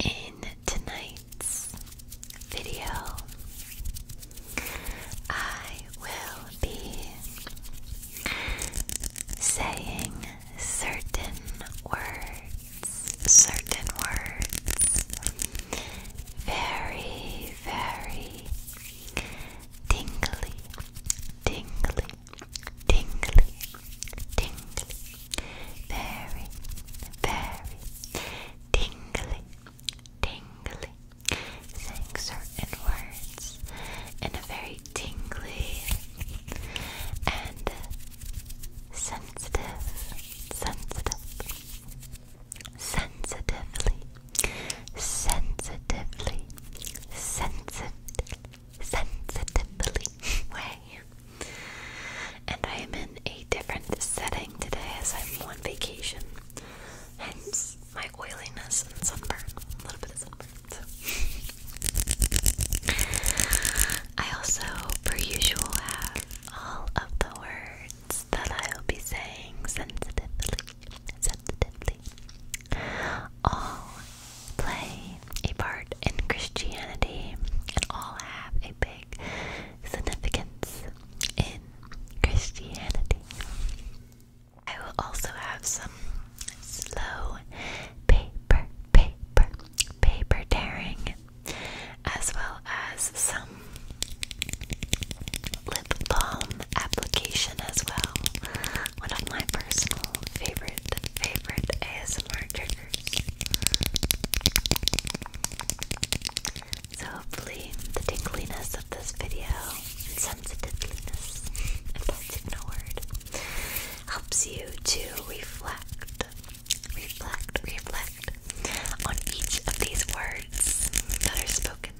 In tonight's video, I will be saying certain words, certain words, very, very tingly, tingly, tingly, tingly, very, very tingly, tingly, saying certain words in a very tingly and sensitive, sensitive, sensitively sensitively, sensitive, sensitively way. And I am in a different setting today as I'm on vacation. Hence my oiliness and sunburn. A little bit of sunburn. I also, per usual, have all of the words that I will be saying sensitively sensitively. All play a part in Christianity and all have a big significance in Christianity. I will also have some slow paper, paper, paper tearing, as well as some lip balm application as well. One of my personal favorite, favorite ASMR triggers. So hopefully the tingliness of this video and if that's even a word, helps you to reflect, reflect, reflect on each of these words that are spoken.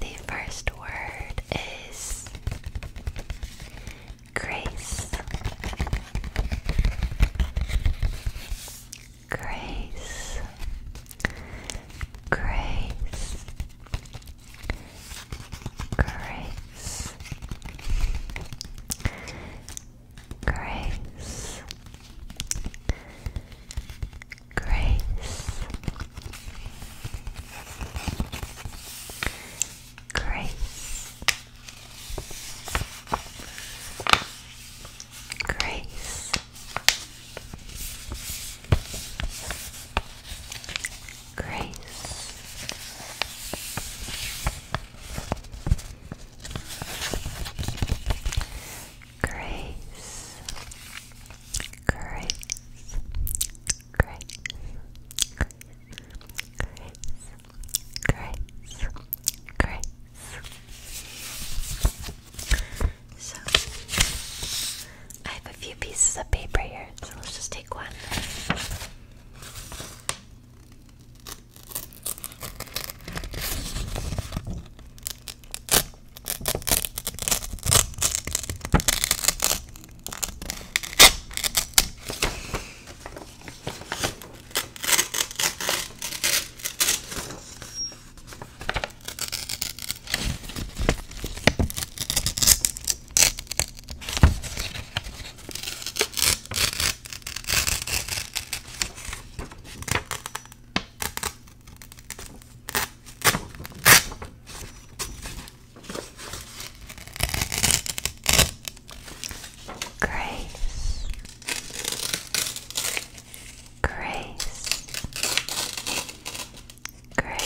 The first word is grace. Grace. Grace grace, grace, grace, grace. Grace, grace. Grace, grace, grace, grace, grace, grace. So, I have a few pieces of paper here, so let's just take one. Grace, Grace, Great.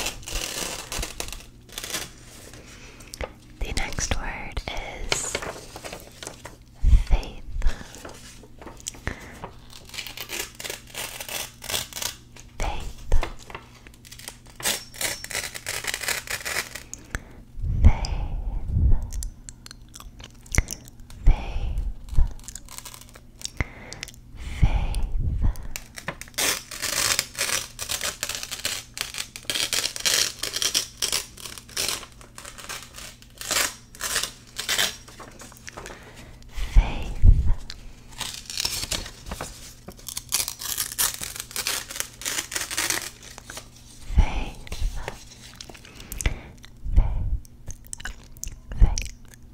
The next word is faith. Faith. Faith. Faith. Faith, faith, faith,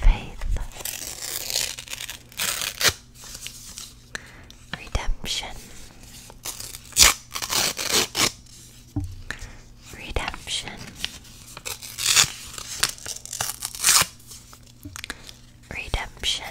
faith, redemption, redemption, redemption, redemption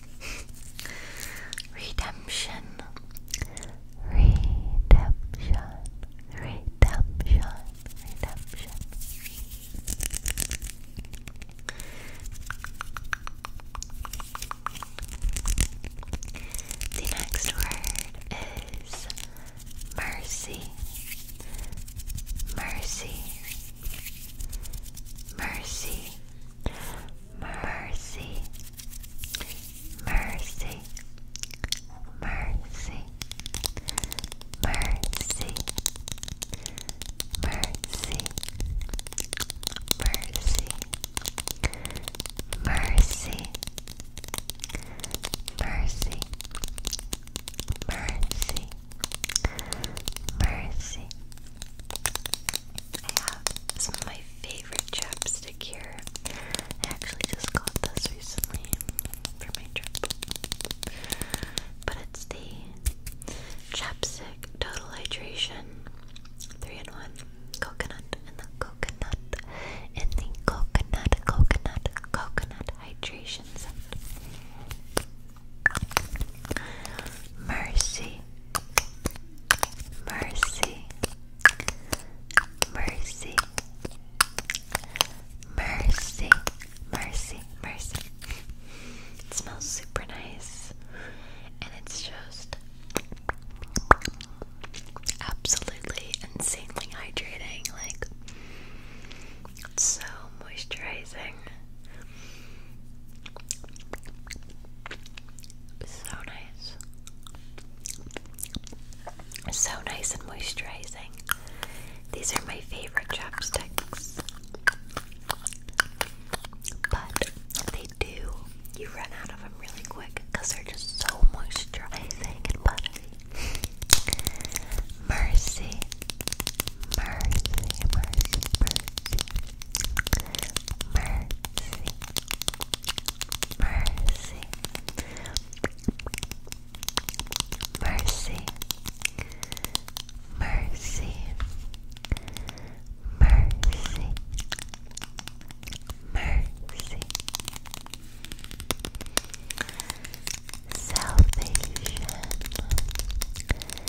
Redemption. Redemption. Redemption. Redemption. The next word is mercy. Mercy. Mercy. Mercy. Mercy, mercy, mercy, mercy, mercy, mercy, mercy, mercy, mercy. Mercy, I have some of my favorite chapstick here. I actually just got this recently for my trip. But it's the Chapstick Total Hydration 3 in 1 Coconut and the Coconut in the Coconut, Coconut, Coconut Hydration Set. Mercy Mercy, mercy, mercy, mercy, mercy. It smells super nice, and it's just absolutely insanely hydrating. Like, it's so moisturizing. So nice. So nice and moisturizing. These are my favorite chopsticks. But they do, you run out of them really quick because they're just so moisturizing and buttery. Mercy, mercy, mercy, mercy. Mercy. Mercy. Mercy. Mercy. Mercy. Mercy. Salvation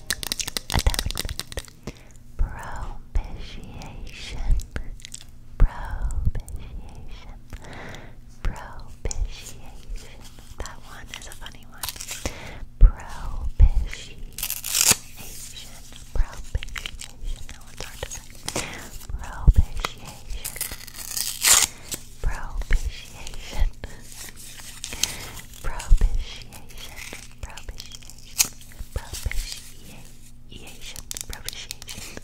attachment, propitiation, propitiation, That one is a funny one. Propitiation, propitiation. That one's hard to say. Propitiation propitiation, propitiation, propitiation, propitiation, propitiation,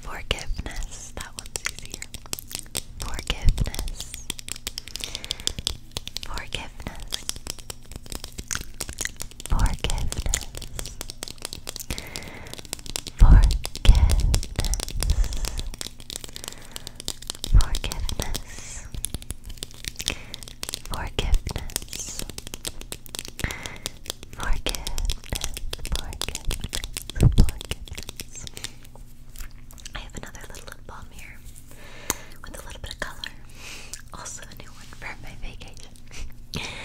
forgiveness. That one's easier. Forgiveness, forgiveness, forgiveness. Forgiveness. Forgiveness. Forgiveness. Forgiveness. Forgiveness. Forgiveness. I have another little lip balm here with a little bit of color. Also, a new one for my vacation.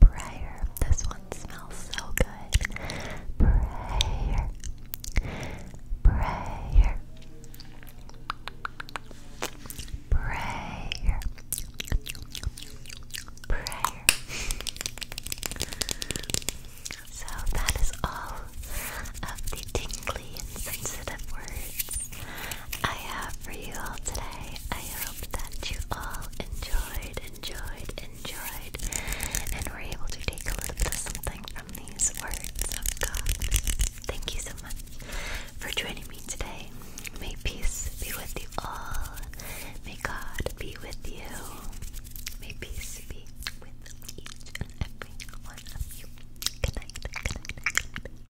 Prayer. This one smells so good. Prayer. Prayer. Prayer. Prayer. So that is all of the tingly and sensitive words I have for you all today. I hope that you all enjoyed, enjoyed, enjoyed, and were able to take a little bit of something from these words of God. Thank you so much for joining me today. May peace be with you all. May God be with you. May peace be with each and every one of you. Good night. Good night.